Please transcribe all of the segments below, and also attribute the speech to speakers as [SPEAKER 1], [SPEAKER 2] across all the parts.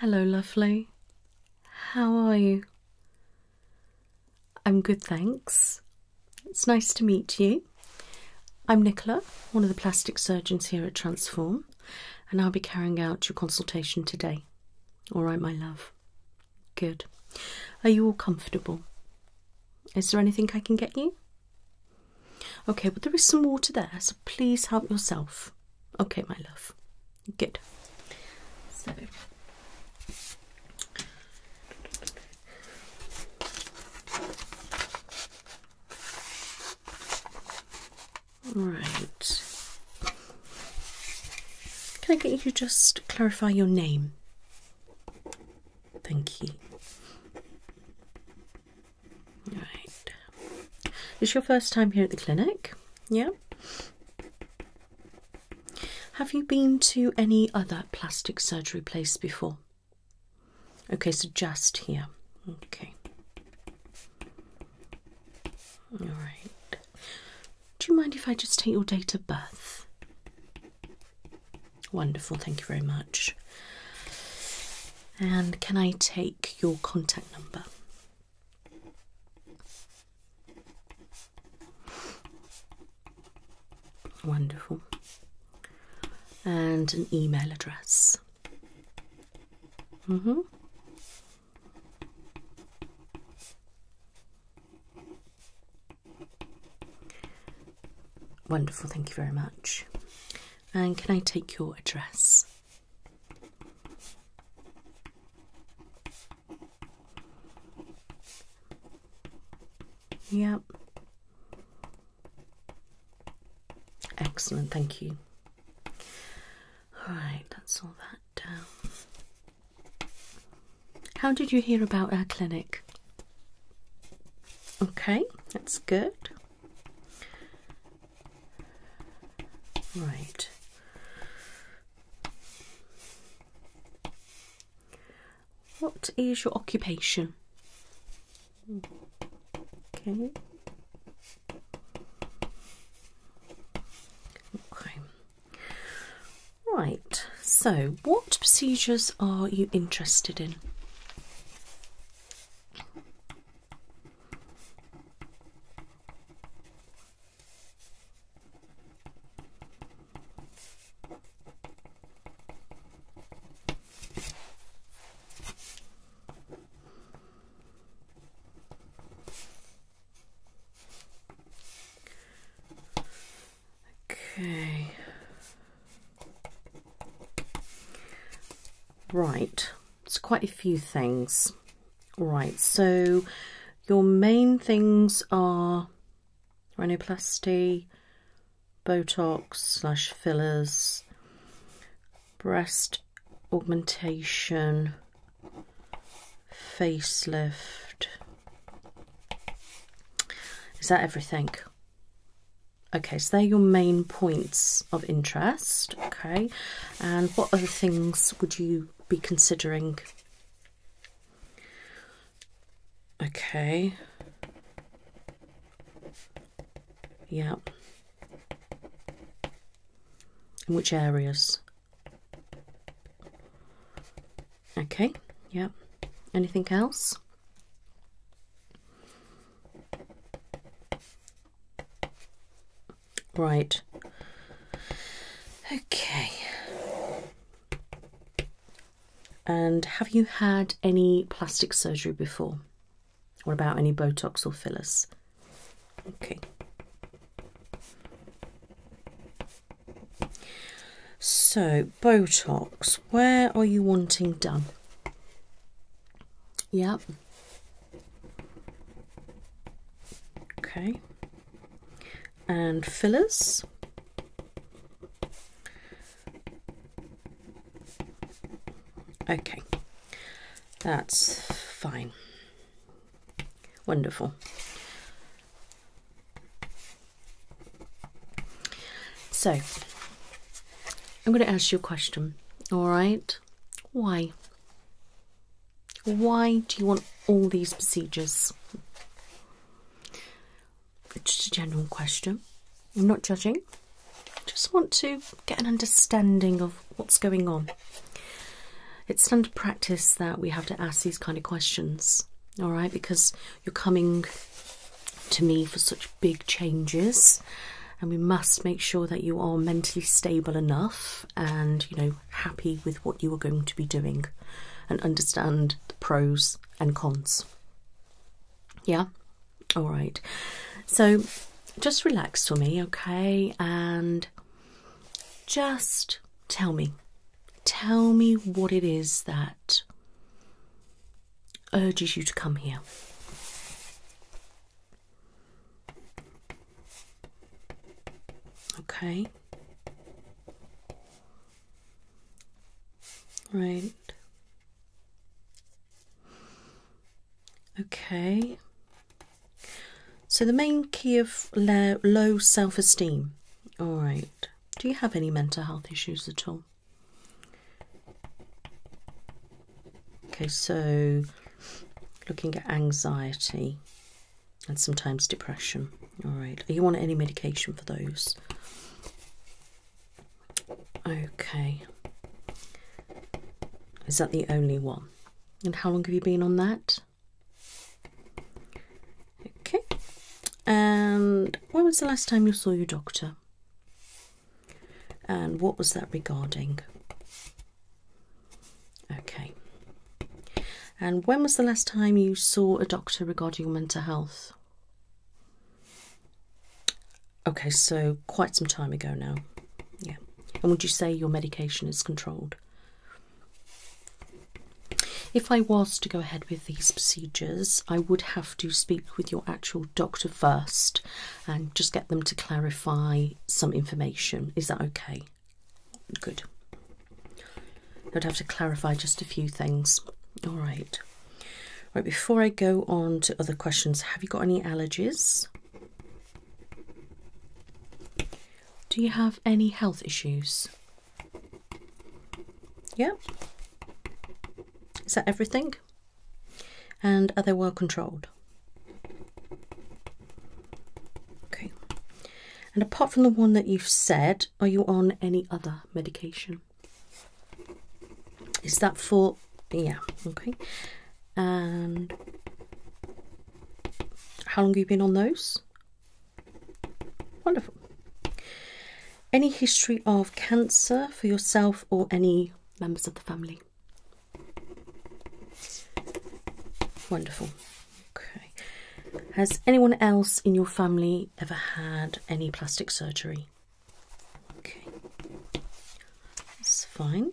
[SPEAKER 1] Hello, lovely. How are you? I'm good, thanks. It's nice to meet you. I'm Nicola, one of the plastic surgeons here at Transform, and I'll be carrying out your consultation today. All right, my love. Good. Are you all comfortable? Is there anything I can get you? Okay, well, there is some water there, so please help yourself. Okay, my love. Good. So. Right. Can I get you to just clarify your name? Thank you. Right. is your first time here at the clinic? Yeah. Have you been to any other plastic surgery place before? Okay, so just here. Okay. All right. Do you mind if I just take your date of birth? Wonderful, thank you very much. And can I take your contact number? Wonderful. And an email address. Mm hmm. Wonderful, thank you very much. And can I take your address? Yep. Excellent, thank you. Alright, that's all that down. Um, how did you hear about our clinic? Okay, that's good. Right. What is your occupation? Okay. Okay. Right, so what procedures are you interested in? Okay. Right, it's quite a few things. Right, so your main things are rhinoplasty, Botox slash fillers, breast augmentation, facelift. Is that everything? Okay, so they're your main points of interest. Okay, and what other things would you be considering? Okay. Yeah. In which areas? Okay, Yep. Anything else? Right. Okay. And have you had any plastic surgery before? Or about any Botox or fillers? Okay. So, Botox, where are you wanting done? Yep. Okay. And fillers. Okay. That's fine. Wonderful. So, I'm going to ask you a question, all right? Why? Why do you want all these procedures? It's just a general question. I'm not judging. I just want to get an understanding of what's going on. It's standard practice that we have to ask these kind of questions, all right? Because you're coming to me for such big changes, and we must make sure that you are mentally stable enough and, you know, happy with what you are going to be doing and understand the pros and cons. Yeah? All right. So just relax for me, okay? And just tell me. Tell me what it is that urges you to come here. Okay. Right. Okay. So, the main key of low, self esteem. All right. Do you have any mental health issues at all? Okay, so looking at anxiety and sometimes depression. All right. Do you want any medication for those? Okay. Is that the only one? And how long have you been on that? Okay. And when was the last time you saw your doctor? And what was that regarding? Okay. And when was the last time you saw a doctor regarding your mental health? Okay, so quite some time ago now. Yeah. And would you say your medication is controlled? If I was to go ahead with these procedures, I would have to speak with your actual doctor first and just get them to clarify some information. Is that okay? Good. I'd have to clarify just a few things. All right. Right, before I go on to other questions, have you got any allergies? Do you have any health issues? Yeah. Is that everything? And are they well controlled? Okay. And apart from the one that you've said, are you on any other medication? Is that for. Yeah, okay. And how long have you been on those? Wonderful. Any history of cancer for yourself or any members of the family? Wonderful. Okay. Has anyone else in your family ever had any plastic surgery? Okay. That's fine.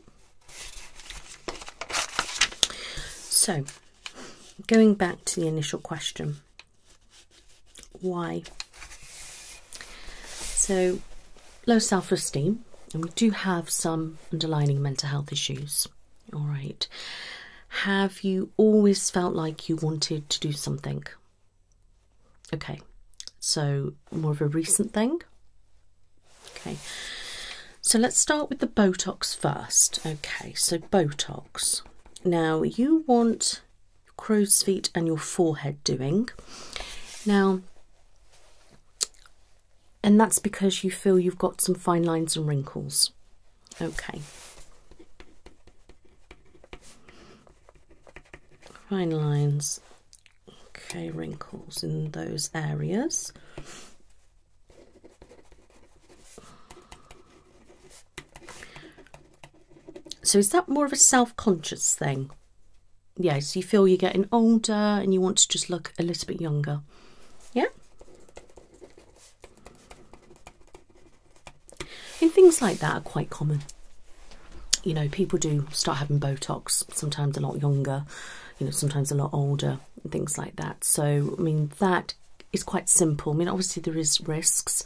[SPEAKER 1] So, Going back to the initial question why? So, low self esteem, and we do have some underlining mental health issues. All right. Have you always felt like you wanted to do something? Okay, so more of a recent thing. Okay, so let's start with the Botox first. Okay, so Botox. Now you want your crow's feet and your forehead doing. Now, and that's because you feel you've got some fine lines and wrinkles. Okay. Fine lines, okay, wrinkles in those areas. So is that more of a self-conscious thing? Yes, you feel you're getting older and you want to just look a little bit younger. Yeah? And things like that are quite common. You know, people do start having Botox, sometimes a lot younger you know, sometimes a lot older and things like that. So, I mean, that is quite simple. I mean, obviously there is risks,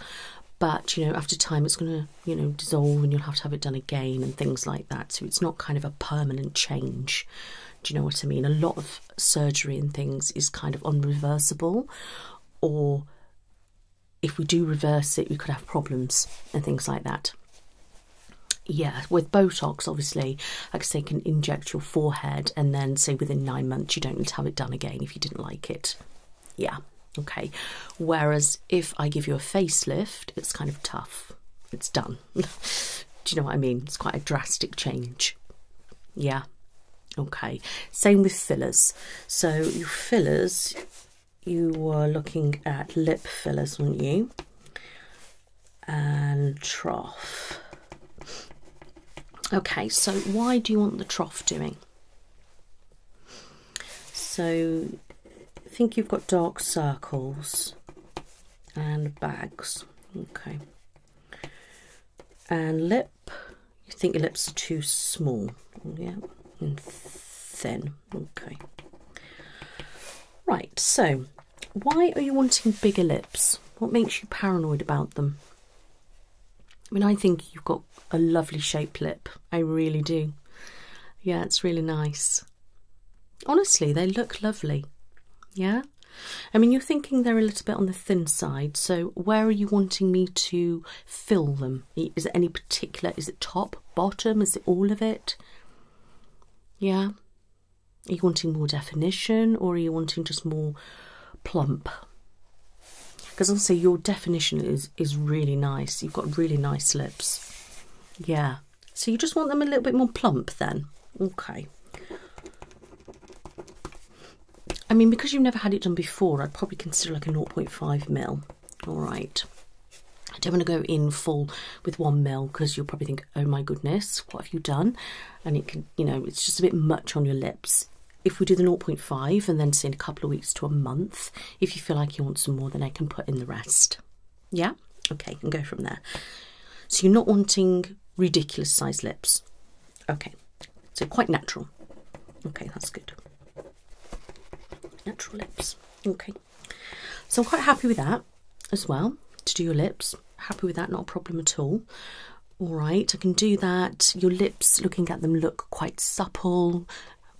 [SPEAKER 1] but you know, after time it's going to, you know, dissolve and you'll have to have it done again and things like that. So it's not kind of a permanent change. Do you know what I mean? A lot of surgery and things is kind of unreversible or if we do reverse it, we could have problems and things like that. Yeah, with Botox, obviously, like I say, can inject your forehead, and then say within nine months you don't need to have it done again if you didn't like it. Yeah, okay. Whereas if I give you a facelift, it's kind of tough. It's done. Do you know what I mean? It's quite a drastic change. Yeah. Okay. Same with fillers. So your fillers, you were looking at lip fillers, weren't you? and trough. Okay, so why do you want the trough doing? So I think you've got dark circles and bags. Okay. And lip, you think your lips are too small. Yeah, and thin. Okay. Right, so why are you wanting bigger lips? What makes you paranoid about them? I mean, I think you've got a lovely shaped lip. I really do. Yeah, it's really nice. Honestly, they look lovely. Yeah? I mean, you're thinking they're a little bit on the thin side, so where are you wanting me to fill them? Is it any particular? Is it top, bottom? Is it all of it? Yeah? Are you wanting more definition or are you wanting just more plump? Because also your definition is is really nice. You've got really nice lips. Yeah. So you just want them a little bit more plump then. Okay. I mean, because you've never had it done before, I'd probably consider like a 0.5 mil. All right. I don't want to go in full with one mil because you'll probably think oh my goodness, what have you done? And it can, you know, it's just a bit much on your lips. If we do the 0.5 and then say in a couple of weeks to a month, if you feel like you want some more, then I can put in the rest. Yeah? Okay, and go from there. So you're not wanting ridiculous size lips. Okay, so quite natural. Okay, that's good. Natural lips. Okay. So I'm quite happy with that as well to do your lips. Happy with that, not a problem at all. All right, I can do that. Your lips, looking at them, look quite supple,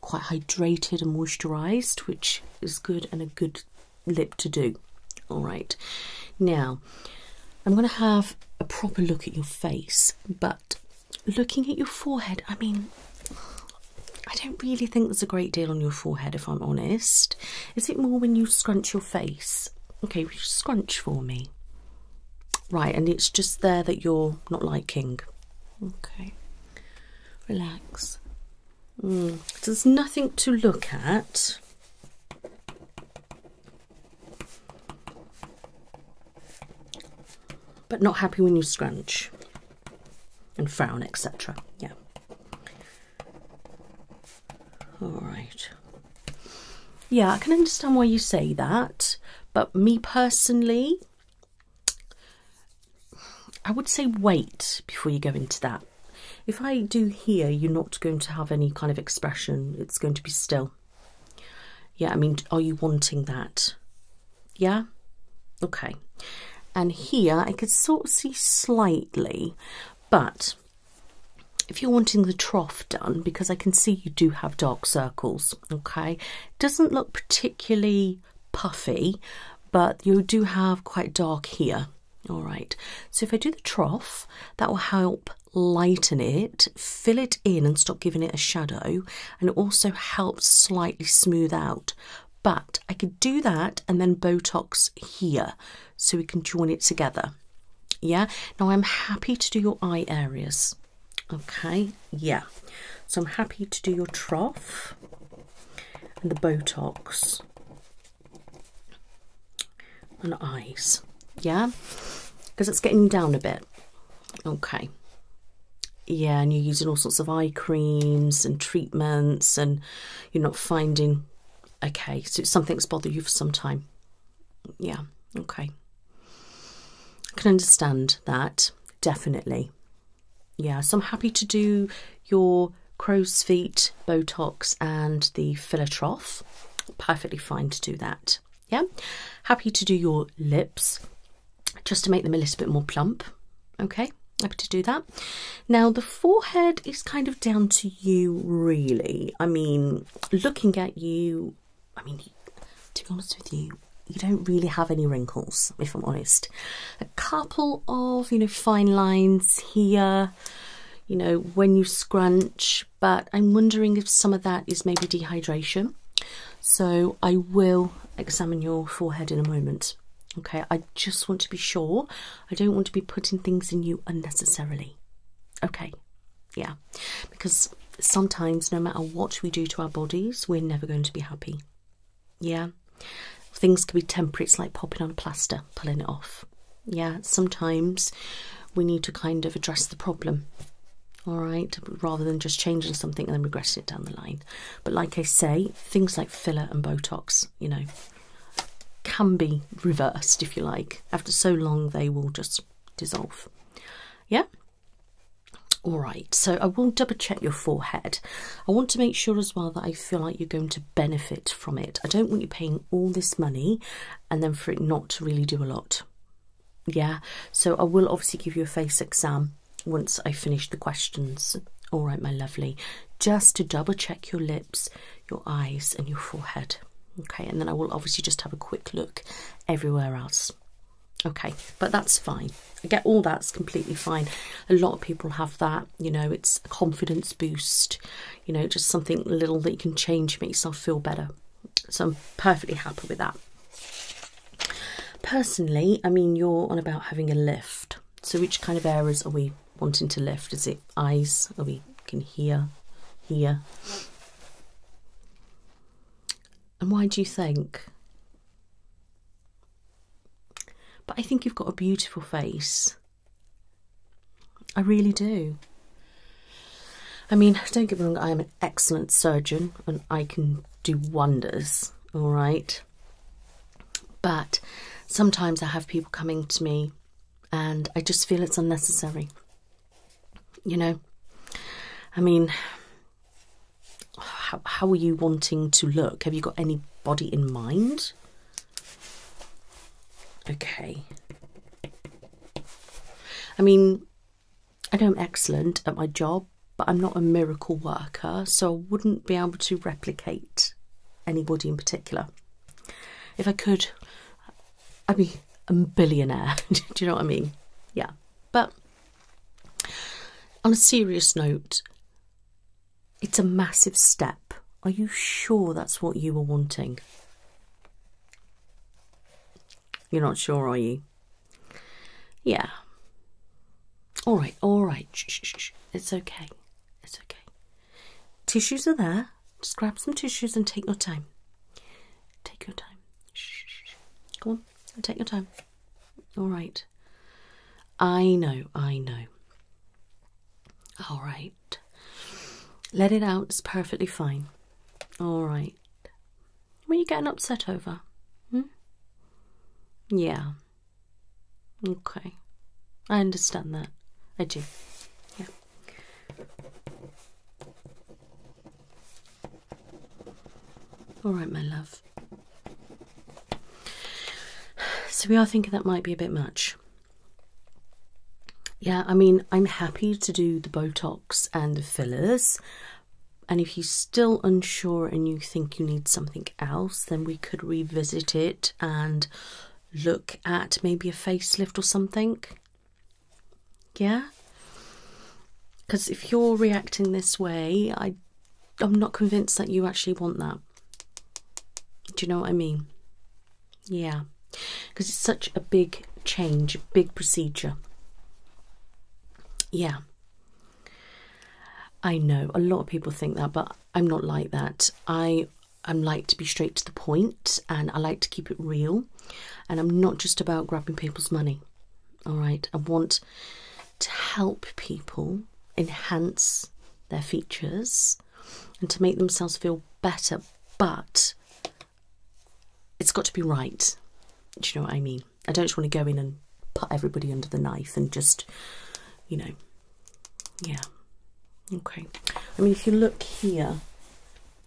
[SPEAKER 1] quite hydrated and moisturized, which is good and a good lip to do. All right, now I'm going to have a proper look at your face, but looking at your forehead, I mean, I don't really think there's a great deal on your forehead, if I'm honest. Is it more when you scrunch your face? Okay, scrunch for me. Right, and it's just there that you're not liking. Okay, relax. Mm. there's nothing to look at. But not happy when you scrunch and frown, etc. Yeah. All right. Yeah, I can understand why you say that, but me personally, I would say wait before you go into that. If I do here, you're not going to have any kind of expression, it's going to be still. Yeah, I mean, are you wanting that? Yeah? Okay. And here I could sort of see slightly, but if you're wanting the trough done, because I can see you do have dark circles, okay, doesn't look particularly puffy, but you do have quite dark here. All right, so if I do the trough, that will help lighten it, fill it in and stop giving it a shadow, and it also helps slightly smooth out. But I could do that and then Botox here so we can join it together. Yeah, now I'm happy to do your eye areas. Okay, yeah, so I'm happy to do your trough and the Botox and eyes. Yeah, because it's getting down a bit. Okay. Yeah, and you're using all sorts of eye creams and treatments, and you're not finding Okay, so something's bothered you for some time. Yeah, okay. I can understand that, definitely. Yeah, so I'm happy to do your crow's feet, Botox, and the filler trough. Perfectly fine to do that. Yeah, happy to do your lips just to make them a little bit more plump. Okay, happy to do that. Now, the forehead is kind of down to you, really. I mean, looking at you, I mean, to be honest with you, you don't really have any wrinkles, if I'm honest. A couple of, you know, fine lines here, you know, when you scrunch, but I'm wondering if some of that is maybe dehydration. So I will examine your forehead in a moment. Okay, I just want to be sure I don't want to be putting things in you unnecessarily. Okay, yeah, because sometimes no matter what we do to our bodies, we're never going to be happy. Yeah, things can be temporary, it's like popping on a plaster, pulling it off. Yeah, sometimes we need to kind of address the problem, all right, rather than just changing something and then regretting it down the line. But like I say, things like filler and Botox, you know, can be reversed if you like. After so long, they will just dissolve. Yeah? Alright, so I will double check your forehead. I want to make sure as well that I feel like you're going to benefit from it. I don't want you paying all this money and then for it not to really do a lot. Yeah, so I will obviously give you a face exam once I finish the questions. Alright, my lovely. Just to double check your lips your eyes, and your forehead. Okay, and then I will obviously just have a quick look everywhere else. Okay, but that's fine. I get all that's completely fine. A lot of people have that, you know, it's a confidence boost, you know, just something little that you can change, make yourself feel better. So I'm perfectly happy with that. Personally, I mean, you're on about having a lift. So which kind of areas are we wanting to lift? Is it eyes? Or we can hear, hear? And why do you think? But I think you've got a beautiful face. I really do. I mean, don't get me wrong, I am an excellent surgeon and I can do wonders, all right? But sometimes I have people coming to me and I just feel it's unnecessary. You know, I mean, how, how are you wanting to look? Have you got anybody in mind? Okay. I mean, I know I'm excellent at my job, but I'm not a miracle worker, so I wouldn't be able to replicate anybody in particular. If I could, I'd be a billionaire. Do you know what I mean? Yeah. But on a serious note, it's a massive step. Are you sure that's what you were wanting? You're not sure, are you? Yeah. All right, all right. It's okay. It's okay. Tissues are there. Just grab some tissues and take your time. Take your time. Shh, Go on, take your time. All right. I know, I know. All right. Let it out, it's perfectly fine. All right. What are you getting upset over? Hmm? Yeah. Okay. I understand that. I do. Yeah. All right, my love. So we are thinking that might be a bit much. Yeah, I mean, I'm happy to do the Botox and the fillers. And if you're still unsure and you think you need something else, then we could revisit it and look at maybe a facelift or something. Yeah? Because if you're reacting this way, I, I'm not convinced that you actually want that. Do you know what I mean? Yeah. Because it's such a big change, big procedure. Yeah. I know a lot of people think that, but I'm not like that. I I'm like to be straight to the point and I like to keep it real and I'm not just about grabbing people's money. All right, I want to help people enhance their features and to make themselves feel better, but it's got to be right. Do you know what I mean? I don't just want to go in and put everybody under the knife and just, you know, yeah. Okay. I mean, if you look here,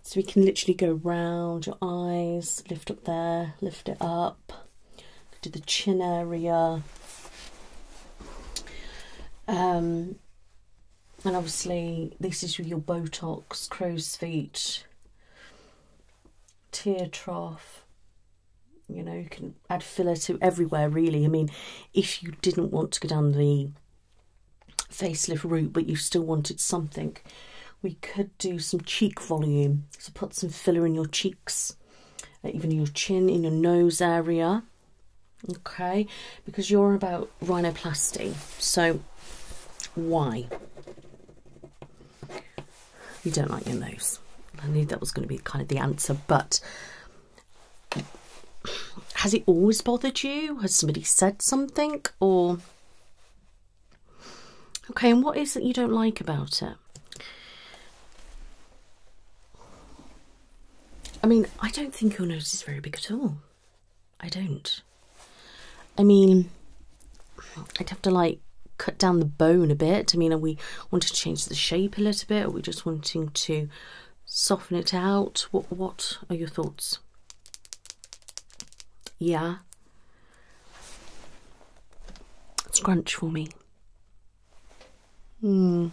[SPEAKER 1] so we can literally go round your eyes, lift up there, lift it up, do the chin area. Um, and obviously, this is with your Botox, crow's feet, tear trough. You know, you can add filler to everywhere, really. I mean, if you didn't want to go down the facelift route, but you still wanted something, we could do some cheek volume. So put some filler in your cheeks, uh, even your chin, in your nose area. Okay, because you're about rhinoplasty. So why? You don't like your nose. I knew that was going to be kind of the answer, but has it always bothered you? Has somebody said something? Or. Okay, and what is it you don't like about it? I mean, I don't think your nose is very big at all. I don't. I mean, I'd have to like cut down the bone a bit. I mean, are we wanting to change the shape a little bit? Or are we just wanting to soften it out. What, are your thoughts? Yeah. Scrunch for me. Hmm.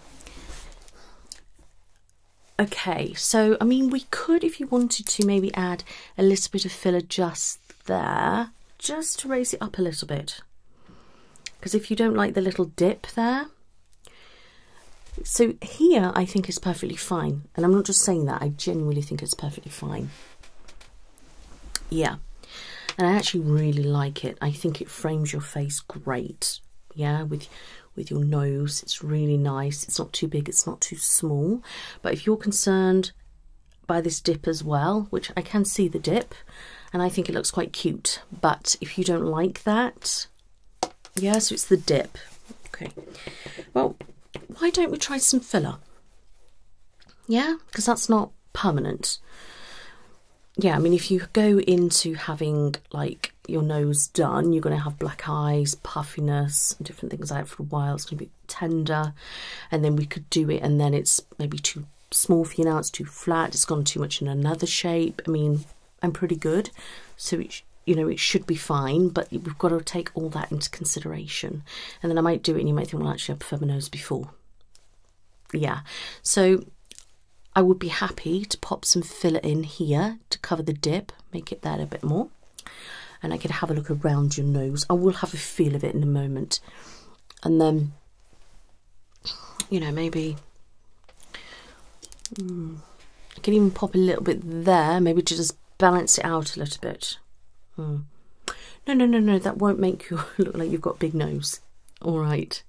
[SPEAKER 1] Okay, so I mean, we could, if you wanted to, maybe add a little bit of filler just there, just to raise it up a little bit. Because if you don't like the little dip there, so here I think is perfectly fine. And I'm not just saying that, I genuinely think it's perfectly fine. Yeah. And I actually really like it. I think it frames your face great. Yeah, with with your nose. It's really nice. It's not too big, it's not too small. But if you're concerned by this dip as well, which I can see the dip, and I think it looks quite cute. But if you don't like that, yeah, so it's the dip. Okay. Well, why don't we try some filler? Yeah, because that's not permanent. Yeah, I mean, if you go into having like your nose done, you're going to have black eyes, puffiness, different things like for a while. It's going to be tender, and then we could do it, and then it's maybe too small for you now, it's too flat, it's gone too much in another shape. I mean, I'm pretty good, so you know it should be fine. But we've got to take all that into consideration, and then I might do it, and you might think, well, actually, I prefer my nose before. Yeah, so I would be happy to pop some filler in here to cover the dip, make it that a bit more, and I could have a look around your nose. I will have a feel of it in a moment, and then you know maybe Mm. I can even pop a little bit there, maybe to just balance it out a little bit. Hmm. No, no, no, no, that won't make you look like you've got big nose. All right.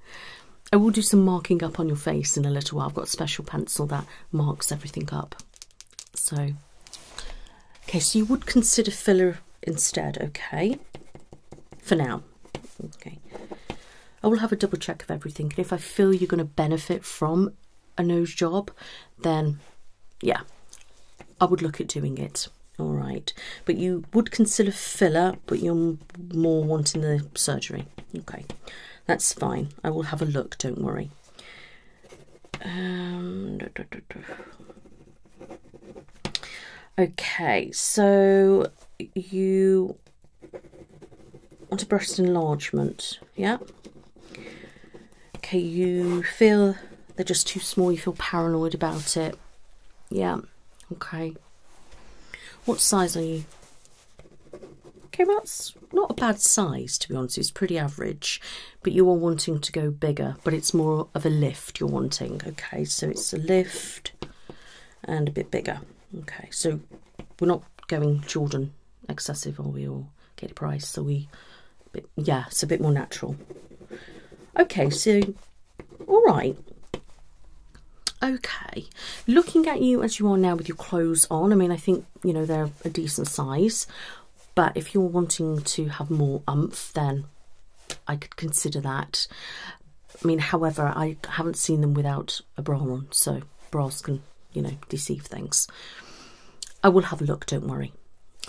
[SPEAKER 1] I will do some marking up on your face in a little while. I've got special pencil that marks everything up. So, okay, so you would consider filler instead, okay? For now. Okay. I will have a double check of everything, and if I feel you're going to benefit from a nose job, then yeah, I would look at doing it. All right, but you would consider filler, but you're more wanting the surgery. Okay, that's fine. I will have a look. Don't worry. Um, okay, so you Want a breast enlargement, yeah? Okay, you feel they're just too small, you feel paranoid about it. Yeah, okay. What size are you? Okay, that's not a bad size, to be honest. It's pretty average, but you are wanting to go bigger, but it's more of a lift you're wanting. Okay, so it's a lift and a bit bigger. Okay, so we're not going children excessive or we'll get a price so we but yeah it's a bit more natural okay so all right okay looking at you as you are now with your clothes on i mean i think you know they're a decent size but if you're wanting to have more umph then i could consider that I mean, however, I haven't seen them without a bra on, so bras can, you know, deceive things. I will have a look, don't worry.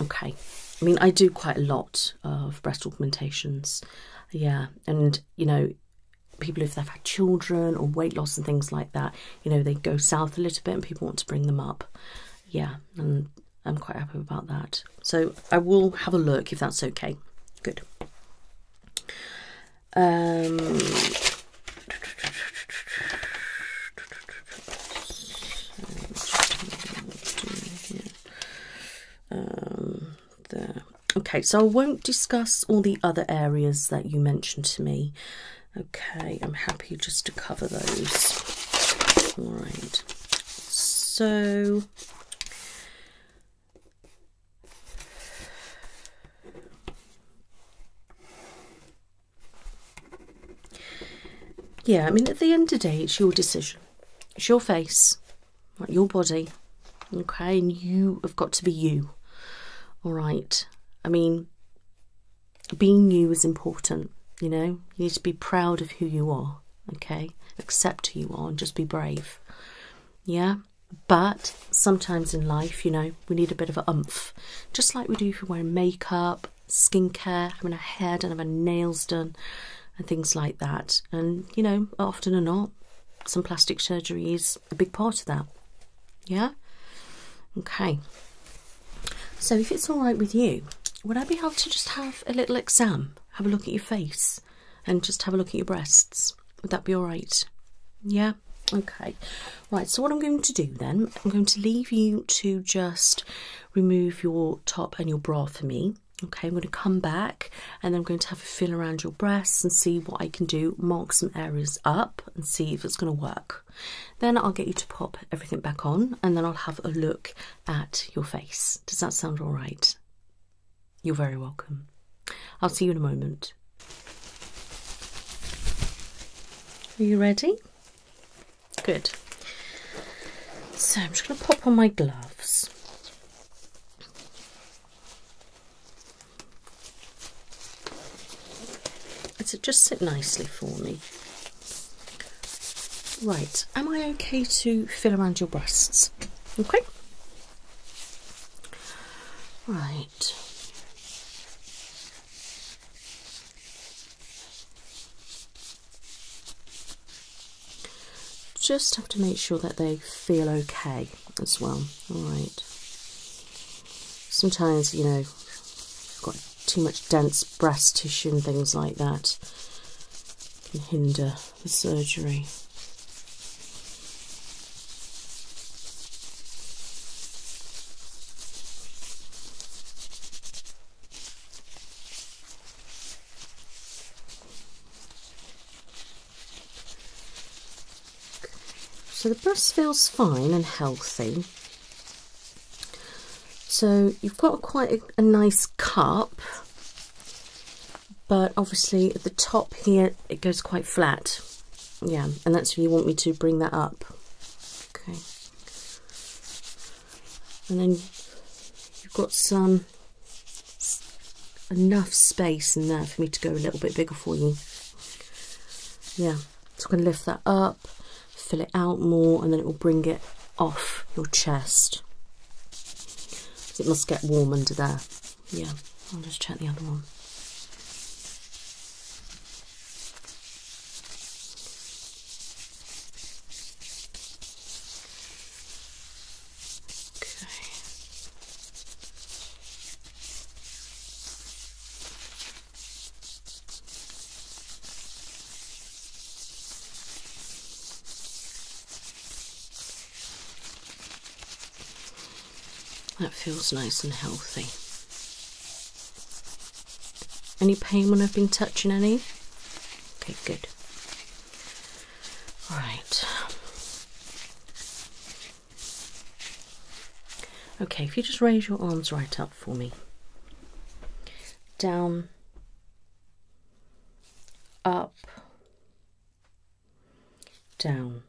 [SPEAKER 1] Okay. I mean, I do quite a lot of breast augmentations. Yeah, and, you know, people if they've had children or weight loss and things like that, you know, they go south a little bit and people want to bring them up. Yeah, and I'm quite happy about that. So I will have a look if that's okay. Good. Um, um, okay, so I won't discuss all the other areas that you mentioned to me. Okay, I'm happy just to cover those. All right. So yeah, I mean, at the end of the day, it's your decision. It's your face, right, your body, okay? And you have got to be you, all right? I mean, being you is important, you know? You need to be proud of who you are, okay? Accept who you are and just be brave, yeah? But sometimes in life, you know, we need a bit of a umph, just like we do for wearing makeup, skincare, having a hair done, having nails done, and things like that. And you know, often or not, some plastic surgery is a big part of that. Yeah. Okay. So if it's all right with you, would I be able to just have a little exam, have a look at your face? and just have a look at your breasts. Would that be all right? Yeah. Okay. Right. So what I'm going to do then, I'm going to leave you to just remove your top and your bra for me. Okay, I'm going to come back and I'm going to have a feel around your breasts and see what I can do, mark some areas up and see if it's going to work. Then I'll get you to pop everything back on and then I'll have a look at your face. Does that sound all right? You're very welcome. I'll see you in a moment. Are you ready? Good. So I'm just going to pop on my gloves. Does it just sit nicely for me? Right, am I okay to feel around your breasts? Okay, Right. Just have to make sure that they feel okay as well. Alright. Sometimes, you know, got too much dense breast tissue and things like that can hinder the surgery. So the breast feels fine and healthy. So you've got quite a, nice cup but obviously at the top here it goes quite flat yeah and that's why you want me to bring that up okay and then you've got some enough space in there for me to go a little bit bigger for you yeah so I'm going to lift that up fill it out more and then it will bring it off your chest it must get warm under there yeah, I'll just check the other one. Okay. That feels nice and healthy. Any pain when I've been touching any? Okay, good. Alright. Okay, if you just raise your arms right up for me. Down, up, down.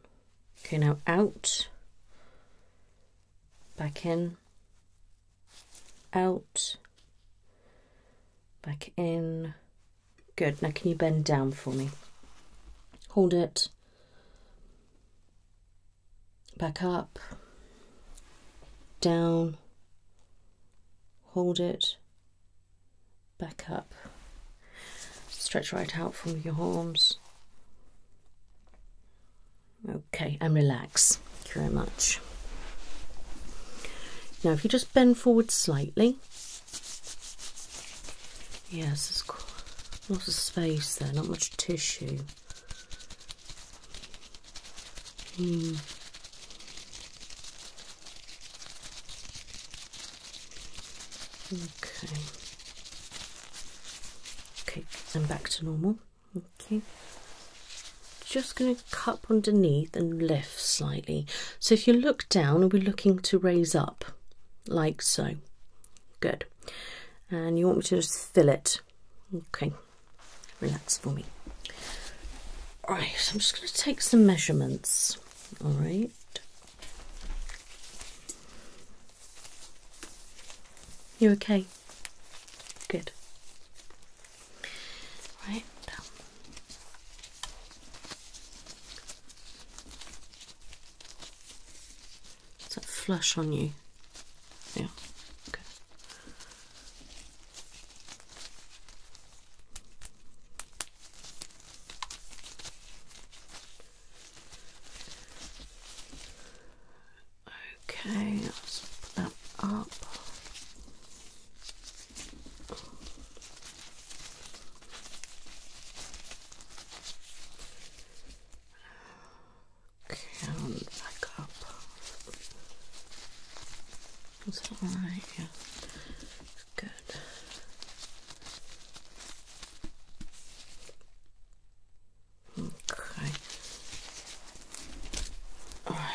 [SPEAKER 1] Okay, now out, back in, out, back in. Good. Now, can you bend down for me? Hold it. Back up, down, hold it, back up, stretch right out from your arms. Okay, and relax. Thank you very much. Now, if you just bend forward slightly, yes, there's quite lots of space there, not much tissue. Mm. Okay. Okay, I'm back to normal. Okay. Just going to cup underneath and lift slightly. So if you look down, we're looking to raise up, like so. Good. And you want me to just fill it. Okay. Relax for me. Right, I'm just going to take some measurements. All right. You okay? Good. Right. Is that flush on you? Yeah. Okay. Okay, let's put that up. Okay, back up. That's alright, yeah. Good. Okay. All right.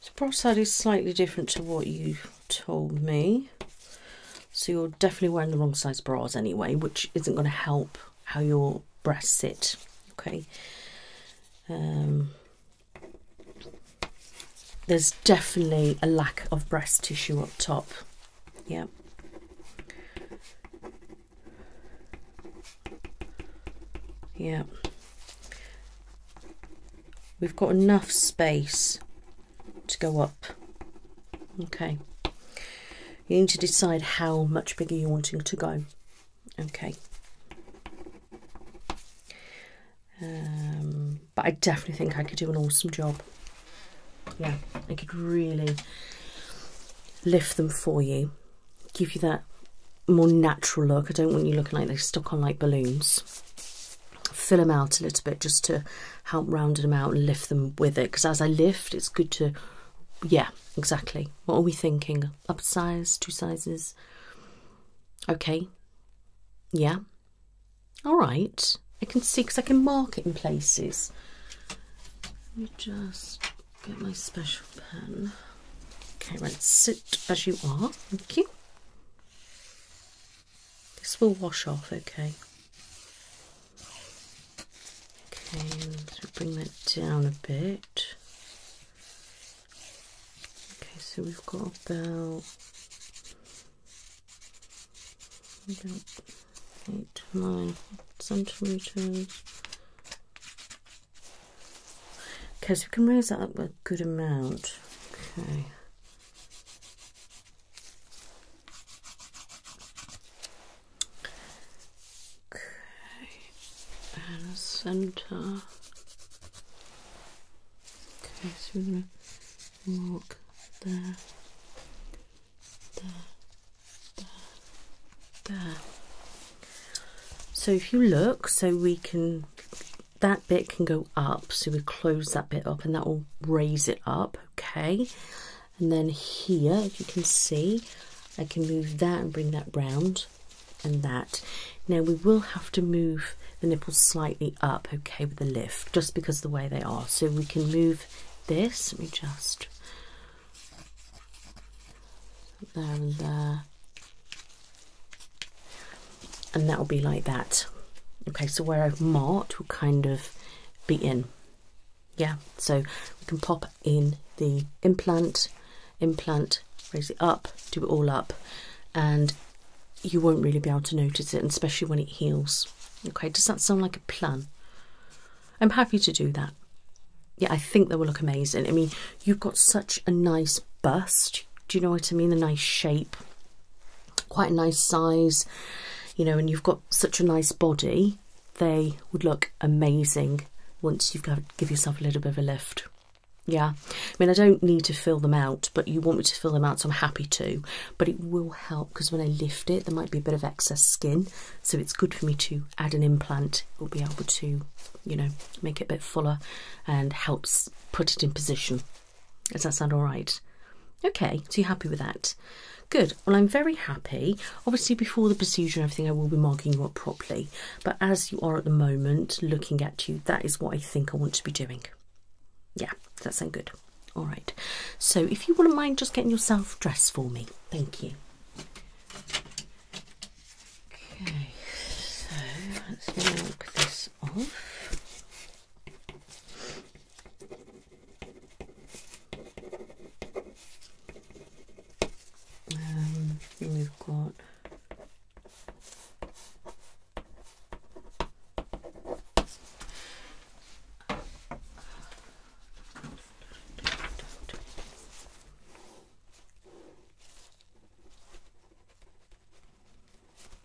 [SPEAKER 1] So peroxide slightly different to what you told me. So you're definitely wearing the wrong size bras anyway, which isn't going to help how your breasts sit. Okay. Um, there's definitely a lack of breast tissue up top. Yep. Yep. We've got enough space to go up. Okay. You need to decide how much bigger you're wanting to go. Okay. Um, but I definitely think I could do an awesome job. Yeah, I could really lift them for you, give you that more natural look. I don't want you looking like they're stuck on like balloons fill them out a little bit just to help round them out and lift them with it because as I lift it's good to yeah exactly what are we thinking up size two sizes okay yeah all right I can see because I can mark it in places let me just get my special pen okay right sit as you are thank you this will wash off, okay. Okay, so bring that down a bit. Okay, so we've got about eight, nine centimeters. Okay, so we can raise that up a good amount. Okay. Okay, and the center. Okay, so we're gonna mark there, there, there, So if you look, so we can that bit can go up, so we close that bit up and that will raise it up, okay? And then here, you can see, I can move that and bring that round and that. Now we will have to move the nipples slightly up, okay, with the lift, just because the way they are. So we can move this, let me just, there and there and that'll be like that. Okay, so where I've marked will kind of be in. Yeah, so we can pop in the implant, implant, raise it up, do it all up, and you won't really be able to notice it, especially when it heals. Okay, does that sound like a plan? I'm happy to do that. Yeah, I think they will look amazing. I mean, you've got such a nice bust. Do you know what I mean? The nice shape quite a nice size, you know, and you've got such a nice body, they would look amazing once you have got give yourself a little bit of a lift. Yeah, I mean, I don't need to fill them out, but you want me to fill them out, so I'm happy to. But it will help because when I lift it, there might be a bit of excess skin, so it's good for me to add an implant. It will be able to, you know, make it a bit fuller and helps put it in position. Does that sound all right? Okay, so you're happy with that? Good. Well, I'm very happy. Obviously, before the procedure and everything, I will be marking you up properly. But as you are at the moment, looking at you, that is what I think I want to be doing. Yeah, does that sound good? All right. So, if you wouldn't mind just getting yourself dressed for me. Thank you. Okay, so let's mark this off. Um, we've got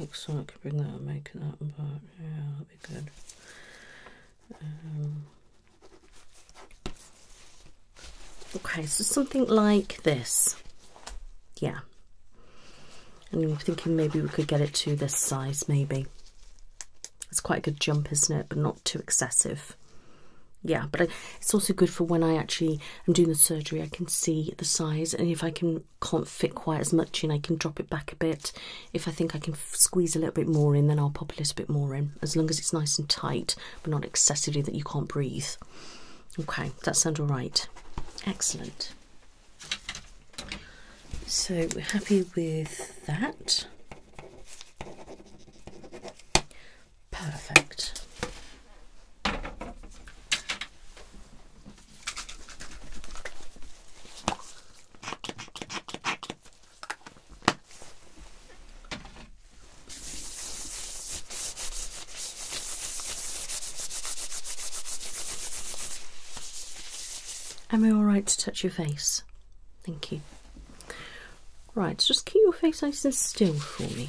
[SPEAKER 1] Excellent. I can bring that and make that apart. Yeah, that'd be good. Um, okay, so something like this. Yeah. I'm thinking maybe we could get it to this size, maybe. It's quite a good jump, isn't it? But not too excessive. Yeah, but it's also good for when I actually am doing the surgery. I can see the size, and if I can can't fit quite as much in, I can drop it back a bit. If I think I can squeeze a little bit more in, then I'll pop a little bit more in, as long as it's nice and tight, but not excessively that you can't breathe. Okay, that sounds all right. Excellent. So we're happy with that. Perfect. Am I alright to touch your face? Thank you. Right, just keep your face nice and still for me.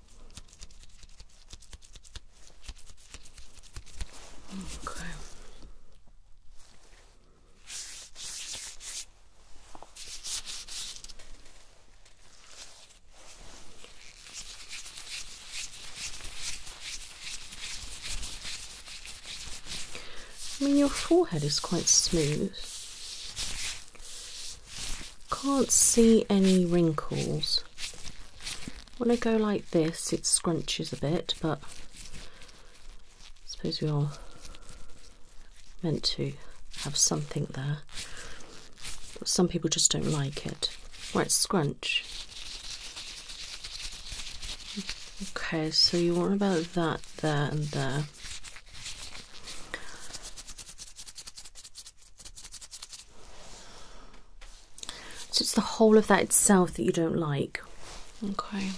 [SPEAKER 1] I mean, your forehead is quite smooth. Can't see any wrinkles. When I go like this, it scrunches a bit, but I suppose we are meant to have something there. some people just don't like it. Right, scrunch. Okay, so you want about that there and there. So it's the whole of that itself that you don't like. Okay.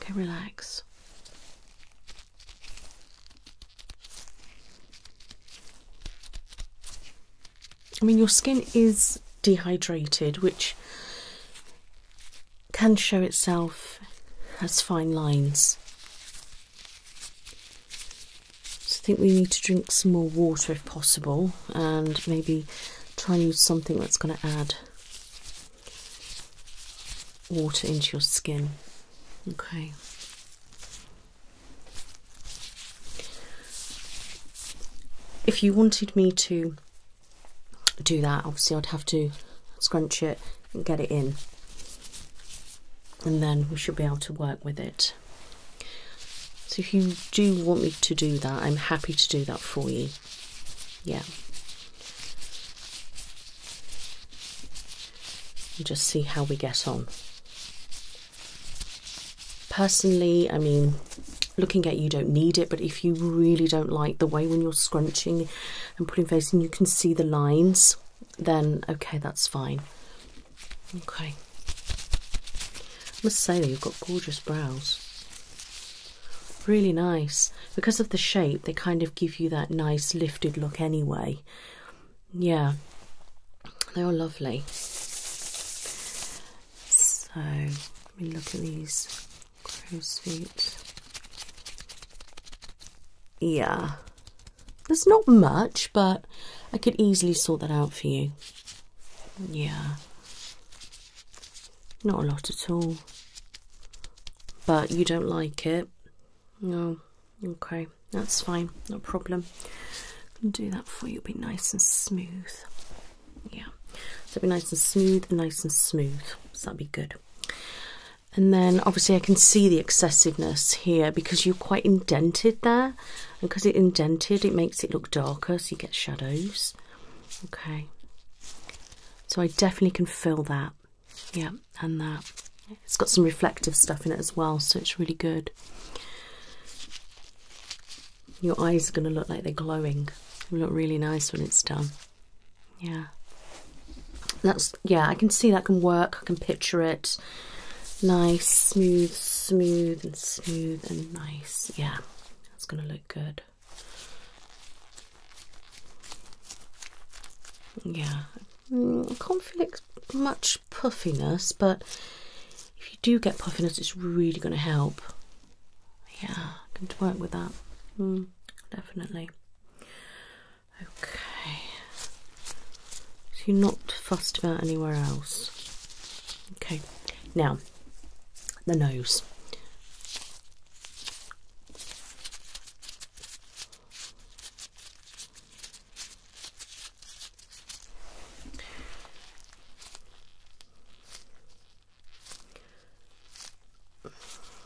[SPEAKER 1] Okay, relax. I mean, your skin is dehydrated, which can show itself as fine lines. So I think we need to drink some more water if possible and maybe try and use something that's going to add water into your skin. Okay. If you wanted me to do that, obviously I'd have to scrunch it and get it in and then we should be able to work with it. So if you do want me to do that, I'm happy to do that for you. Yeah. And just see how we get on. Personally, I mean, looking at you don't need it, but if you really don't like the way when you're scrunching and putting facing, you can see the lines then okay, that's fine. Okay. I must say that you've got gorgeous brows. Really nice. Because of the shape, they kind of give you that nice lifted look anyway. Yeah. They are lovely. So, let me look at these crow's feet. Yeah, there's not much, but I could easily sort that out for you. Yeah. Not a lot at all. But you don't like it? No. Okay, that's fine. No problem. I can do that for you. It'll be nice and smooth. Yeah. So it'll be nice and smooth nice and smooth. So that'll be good and then obviously I can see the excessiveness here because you're quite indented there, because it indented, it makes it look darker, so you get shadows. Okay, so I definitely can fill that. Yeah, and that it's got some reflective stuff in it as well, so it's really good. Your eyes are going to look like they're glowing. look really nice when it's done. Yeah. That's yeah, I can see that can work. I can picture it. Nice, smooth, smooth and smooth and nice. Yeah. That's going to look good. Yeah. Mm, I can't feel much puffiness, but if you do get puffiness, it's really going to help. Yeah, I can work with that. Mm, definitely. Okay. So you're not fussed about anywhere else. Okay. Now, the nose.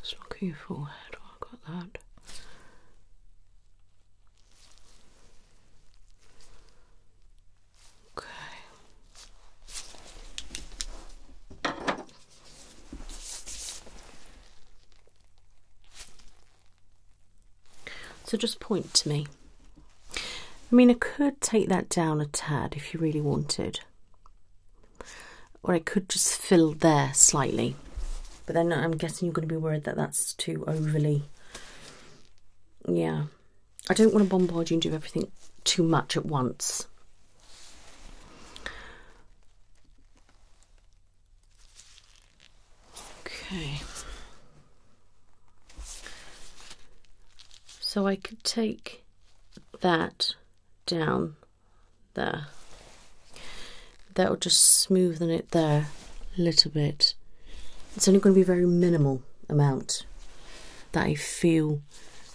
[SPEAKER 1] Just look at your forehead. Oh, I got that. Okay. So just point to me. I mean, I could take that down a tad if you really wanted, or I could just fill there slightly. But then I'm guessing you're going to be worried that that's too overly. Yeah. I don't want to bombard you and do everything too much at once. Okay. So I could take that down there. That'll just smoothen it there a little bit. It's only going to be a very minimal amount that I feel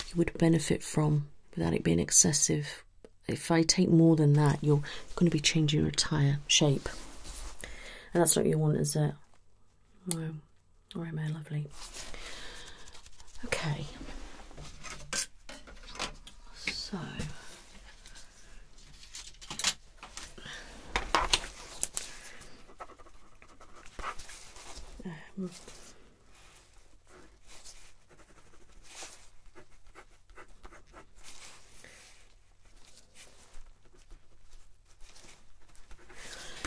[SPEAKER 1] you would benefit from without it being excessive if I take more than that, you're going to be changing your entire shape, and that's not what you want, is it? No. All right, my lovely. Okay. So. Um,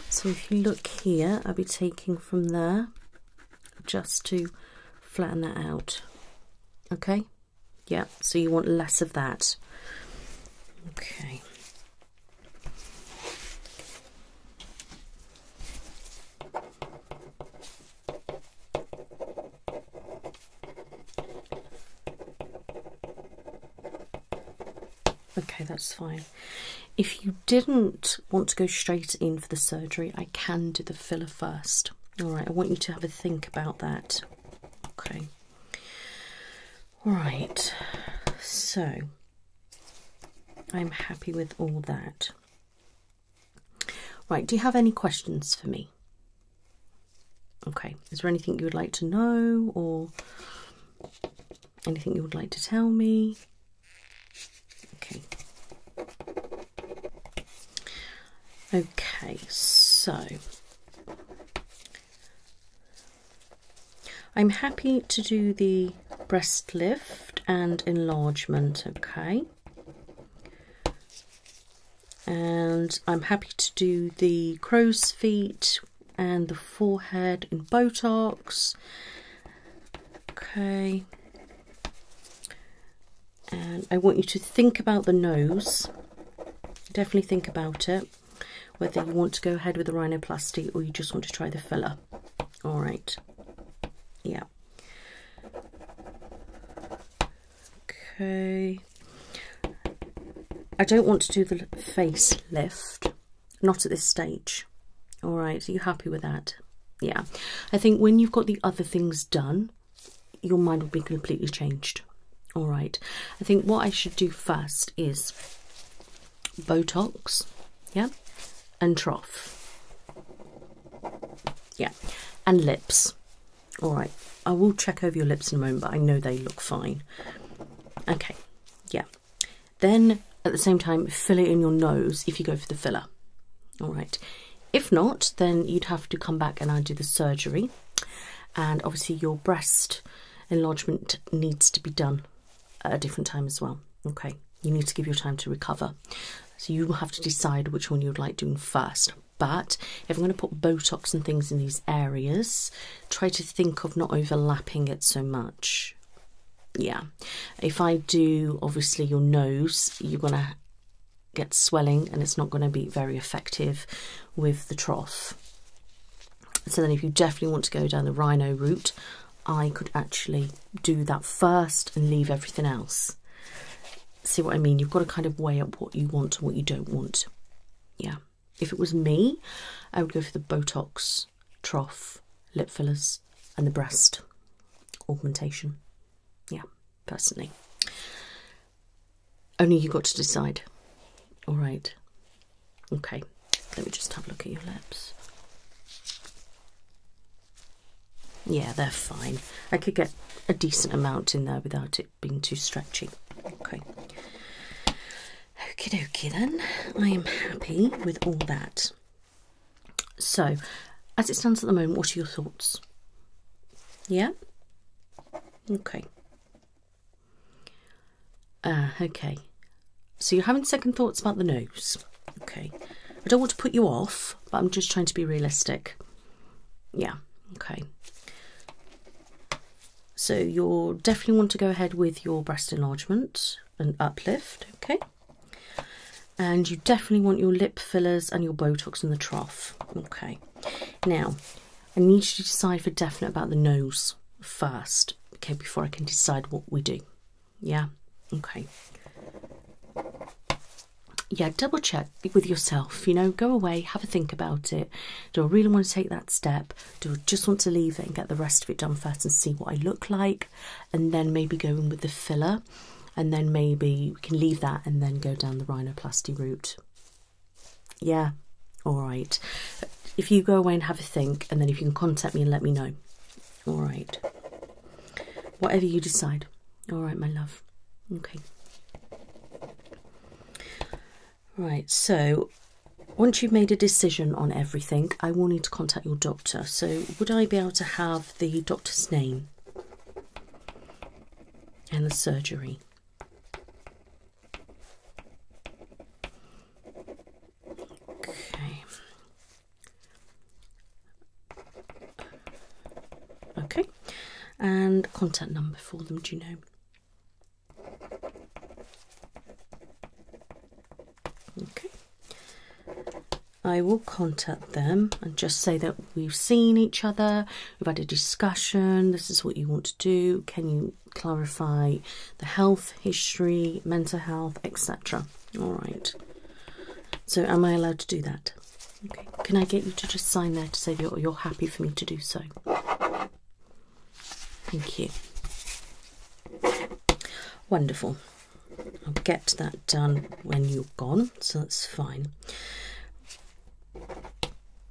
[SPEAKER 1] so if you look here, I'll be taking from there just to flatten that out. Okay? Yeah, so you want less of that. Okay. Okay, that's fine. If you didn't want to go straight in for the surgery, I can do the filler first. Alright, I want you to have a think about that. Okay. Alright, so I'm happy with all that. Right, do you have any questions for me? Okay, is there anything you would like to know or anything you would like to tell me? Okay. Okay, so I'm happy to do the breast lift and enlargement, okay? And I'm happy to do the crow's feet and the forehead and Botox. Okay. And I want you to think about the nose. Definitely think about it. Whether you want to go ahead with a rhinoplasty or you just want to try the filler. All right. Yeah. Okay. I don't want to do the face lift, not at this stage. All right, are you happy with that? Yeah. I think when you've got the other things done, your mind will be completely changed. All right. I think what I should do first is Botox, yeah, and trough. Yeah, and lips. All right, I will check over your lips in a moment, but I know they look fine. Okay, yeah. Then at the same time, fill it in your nose if you go for the filler. All right. If not, then you'd have to come back and I do the surgery. And obviously, your breast enlargement needs to be done at a different time as well. Okay, you need to give your time to recover. So you have to decide which one you'd like doing first. But if I'm going to put Botox and things in these areas, try to think of not overlapping it so much. Yeah. If I do, obviously, your nose, you're going to get swelling and it's not going to be very effective with the trough. So then if you definitely want to go down the rhino route, I could actually do that first and leave everything else. See what I mean? You've got to kind of weigh up what you want and what you don't want. Yeah. If it was me, I would go for the Botox, trough, lip fillers, and the breast augmentation. Yeah, personally. Only you got to decide. All right. Okay. Let me just have a look at your lips. Yeah, they're fine. I could get a decent amount in there without it being too stretchy. Okay. Okay, dokie then. I am happy with all that. So, as it stands at the moment, what are your thoughts? Yeah? Okay. Uh, okay. So you're having second thoughts about the nose? Okay. I don't want to put you off, but I'm just trying to be realistic. Yeah, okay. So you'll definitely want to go ahead with your breast enlargement and uplift, okay? And you definitely want your lip fillers and your Botox in the trough, okay? Now, I need you to decide for definite about the nose first, okay, before I can decide what we do, yeah, okay. Yeah, double check with yourself. You know, go away, have a think about it. Do I really want to take that step? Do I just want to leave it and get the rest of it done first and see what I look like? And then maybe go in with the filler. And then maybe we can leave that and then go down the rhinoplasty route. Yeah, all right. If you go away and have a think, and then if you can contact me and let me know. All right. Whatever you decide. All right, my love. Okay. Right, so once you've made a decision on everything, I will need to contact your doctor. So, would I be able to have the doctor's name and the surgery? Okay. Okay, and contact number for them, do you know? Okay, I will contact them and just say that we've seen each other, we've had a discussion, this is what you want to do, can you clarify the health history, mental health, etc. All right. So, am I allowed to do that? Okay. Can I get you to just sign there to say you're, you're happy for me to do so? Thank you. Wonderful. I'll get that done when you're gone, so that's fine.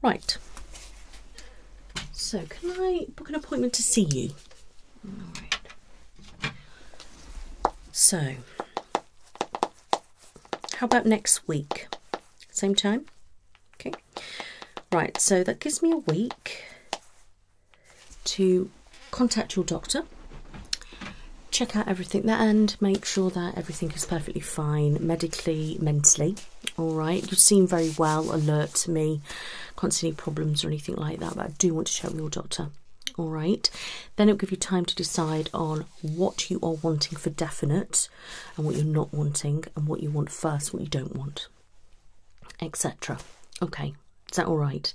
[SPEAKER 1] Right. So, can I book an appointment to see you? So, how about next week? Same time? Okay. Right, so that gives me a week to contact your doctor, check out everything there, and make sure that everything is perfectly fine medically, mentally. All right, you seem very well, alert to me, can't see any problems or anything like that, but I do want to check with your doctor. All right, then it'll give you time to decide on what you are wanting for definite and what you're not wanting, and what you want first, what you don't want, etc. Okay, is that all right?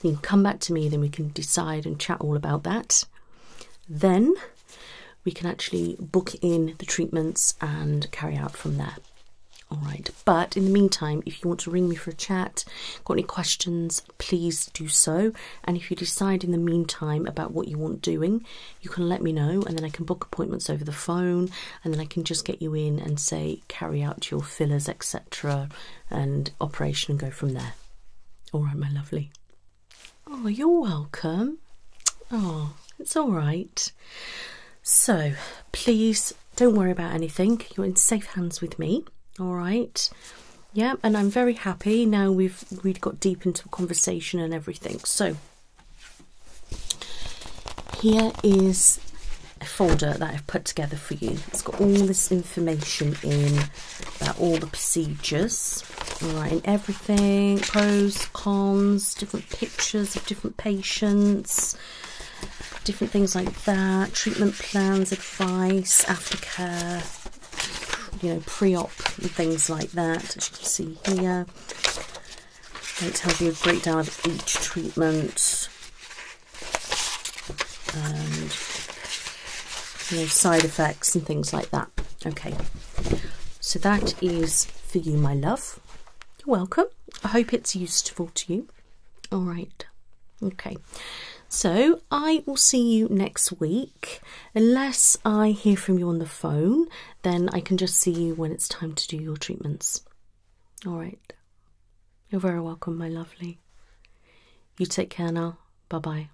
[SPEAKER 1] Then you can come back to me, then we can decide and chat all about that. Then we can actually book in the treatments and carry out from there. All right, but in the meantime, if you want to ring me for a chat, got any questions, please do so. And if you decide in the meantime about what you want doing, you can let me know, and then I can book appointments over the phone, and then I can just get you in and say carry out your fillers, etc., and operation, and go from there. All right, my lovely. Oh, you're welcome. Oh, it's all right. So, please don't worry about anything. You're in safe hands with me. All right yeah and i'm very happy now we've we've got deep into conversation and everything so here is a folder that i've put together for you it's got all this information in about all the procedures right? and everything pros cons different pictures of different patients different things like that treatment plans advice, aftercare, you know, pre-op and things like that, as you can see here. It tells you a breakdown of each treatment and you know, side effects and things like that. Okay, so that is for you, my love. You're welcome. I hope it's useful to you. All right. Okay. So I will see you next week. Unless I hear from you on the phone, then I can just see you when it's time to do your treatments. All right. You're very welcome, my lovely. You take care now. Bye bye.